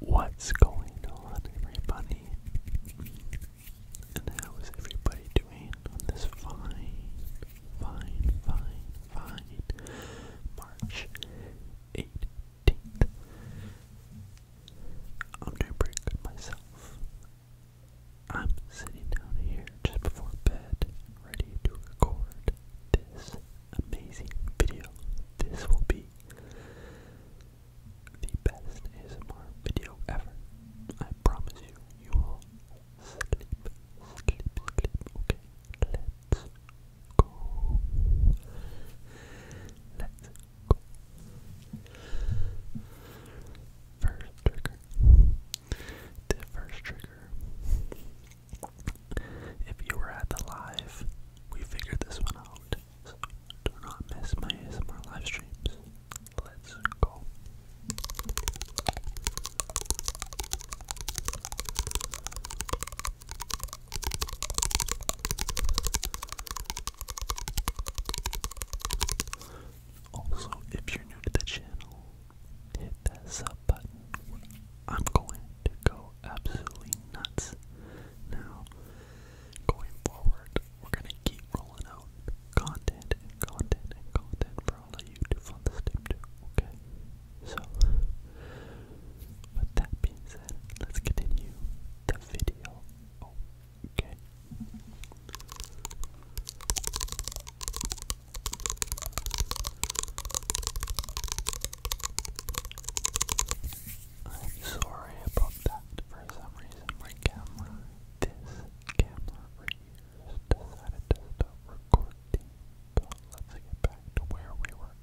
What's going on, everybody? And how is everybody doing on this fine, fine, fine, fine March 8th, 13th. I'm doing pretty myself. I'm sitting down here just before bed, ready to record this amazing video. This will be the best ASMR video ever. I promise you, you will sleep, sleep, sleep. Okay, let go. let First trigger. The first trigger. If you were at the live, we figured this one out. So do not miss my ASMR live streams. Let's go. Also, if you're new to the channel, hit that sub button. I'm going to go absolutely nuts. Now, going forward, we're gonna keep rolling out content content content for all of you to fun this tape too, okay? So, with that being said, let's continue the video. Okay. I'm sorry about that. For some reason, my camera, this camera right decided to stop recording. But let's get back to where we were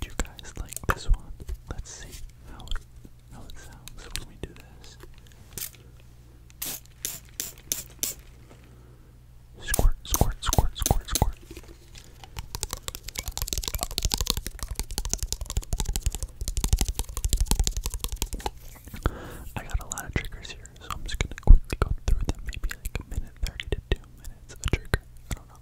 Do you guys like this one? Let's see how how it sounds when we do this. Squirt, squirt, squirt, squirt, squirt. I got a lot of triggers here, so I'm just gonna quickly go through them, maybe like a minute, 30 to 2 minutes a trigger. I don't know.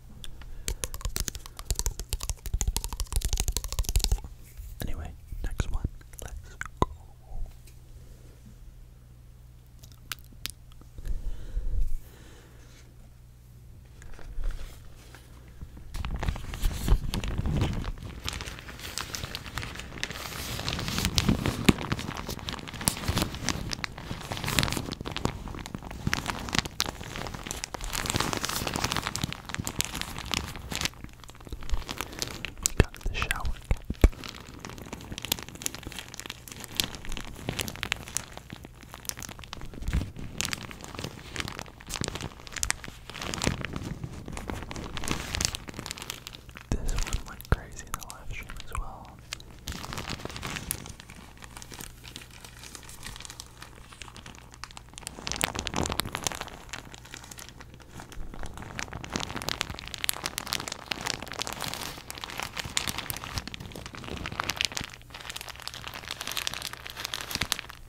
Anyway, next one. Let's go. Got the shower cap. This one went crazy in the live stream as well.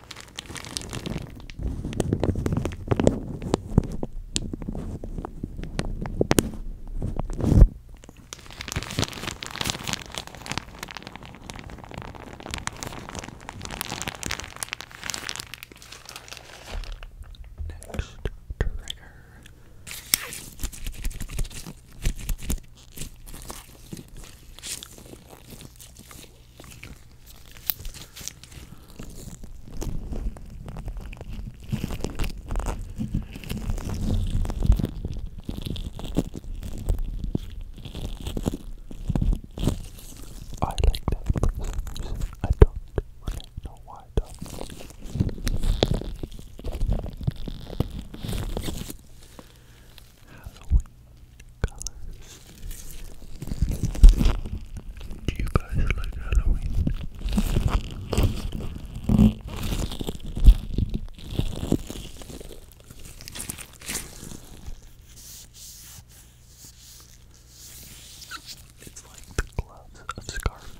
Next trigger. I like that person. I don't really know why though. Halloween colors. Do you guys like Halloween? It's like the gloves of Scarface.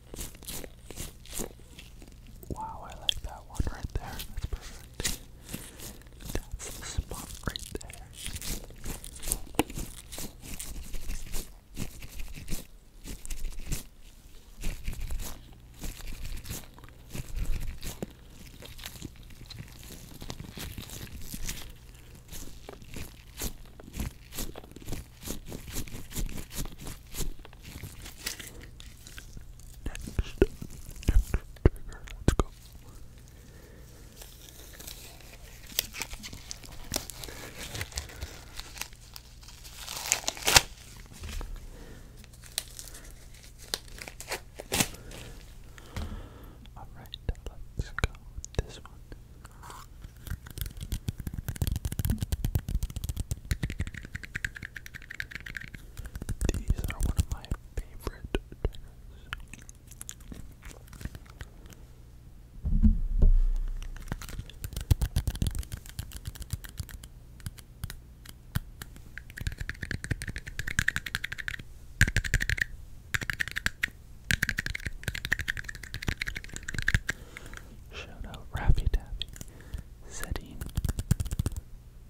Wow, I like that one right there. That's perfect. That's the spot right there next trigger, let's go. Alright, let's go this one. These are one of my favorite triggers. Shout out Raffy Taffy, setting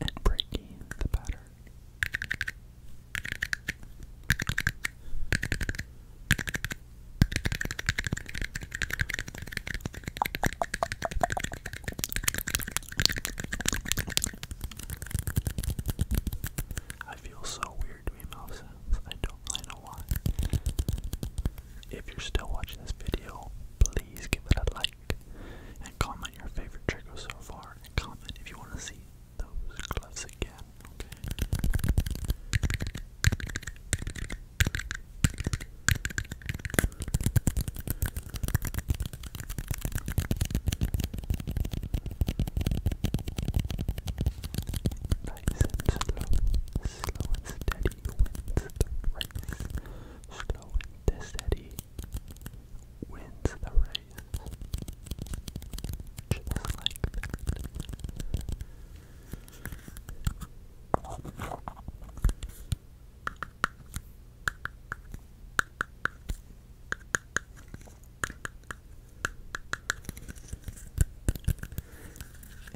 and breaking the pattern. I feel so weird doing mouse do know why. If you're still watching this video, please give it a like and comment your favorite trigger so far and comment if you want to see those gloves again, okay? Nice and slow, slow and steady. P. Winston race. Slow and steady wins the race.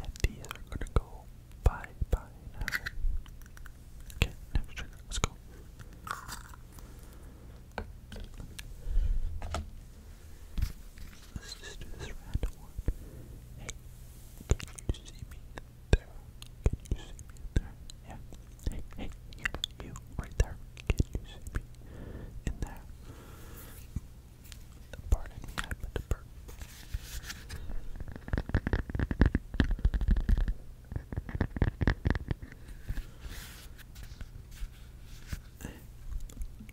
And these are gonna go Bye, bye, now. Okay, next trigger, let's go. Let's just do this random one. Hey, can you see me there? Can you see me there? Yeah. Hey, hey, yeah, you right there. Can you see me in there? Pardon me,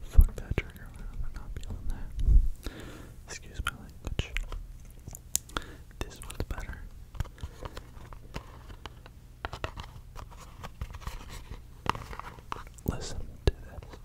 Fuck that trigger, I'm not feeling that. Excuse my This one's better. Listen to this.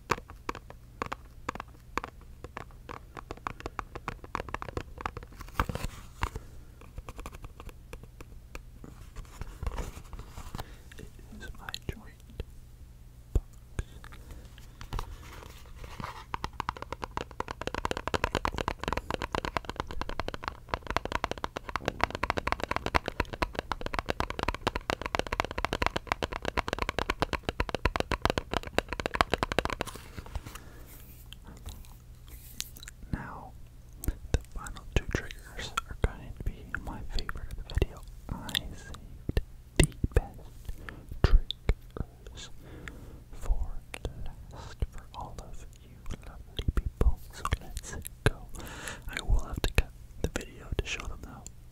It is my joint box. Now, the final two triggers are going to be my favorite video. I saved the best triggers for last for all of you lovely people, so let's go. I will have to cut the video to show them though.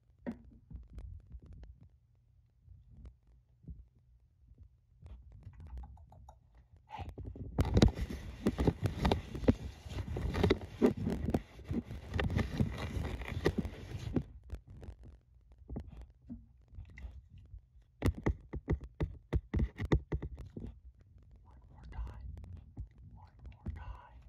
One more time. One more time.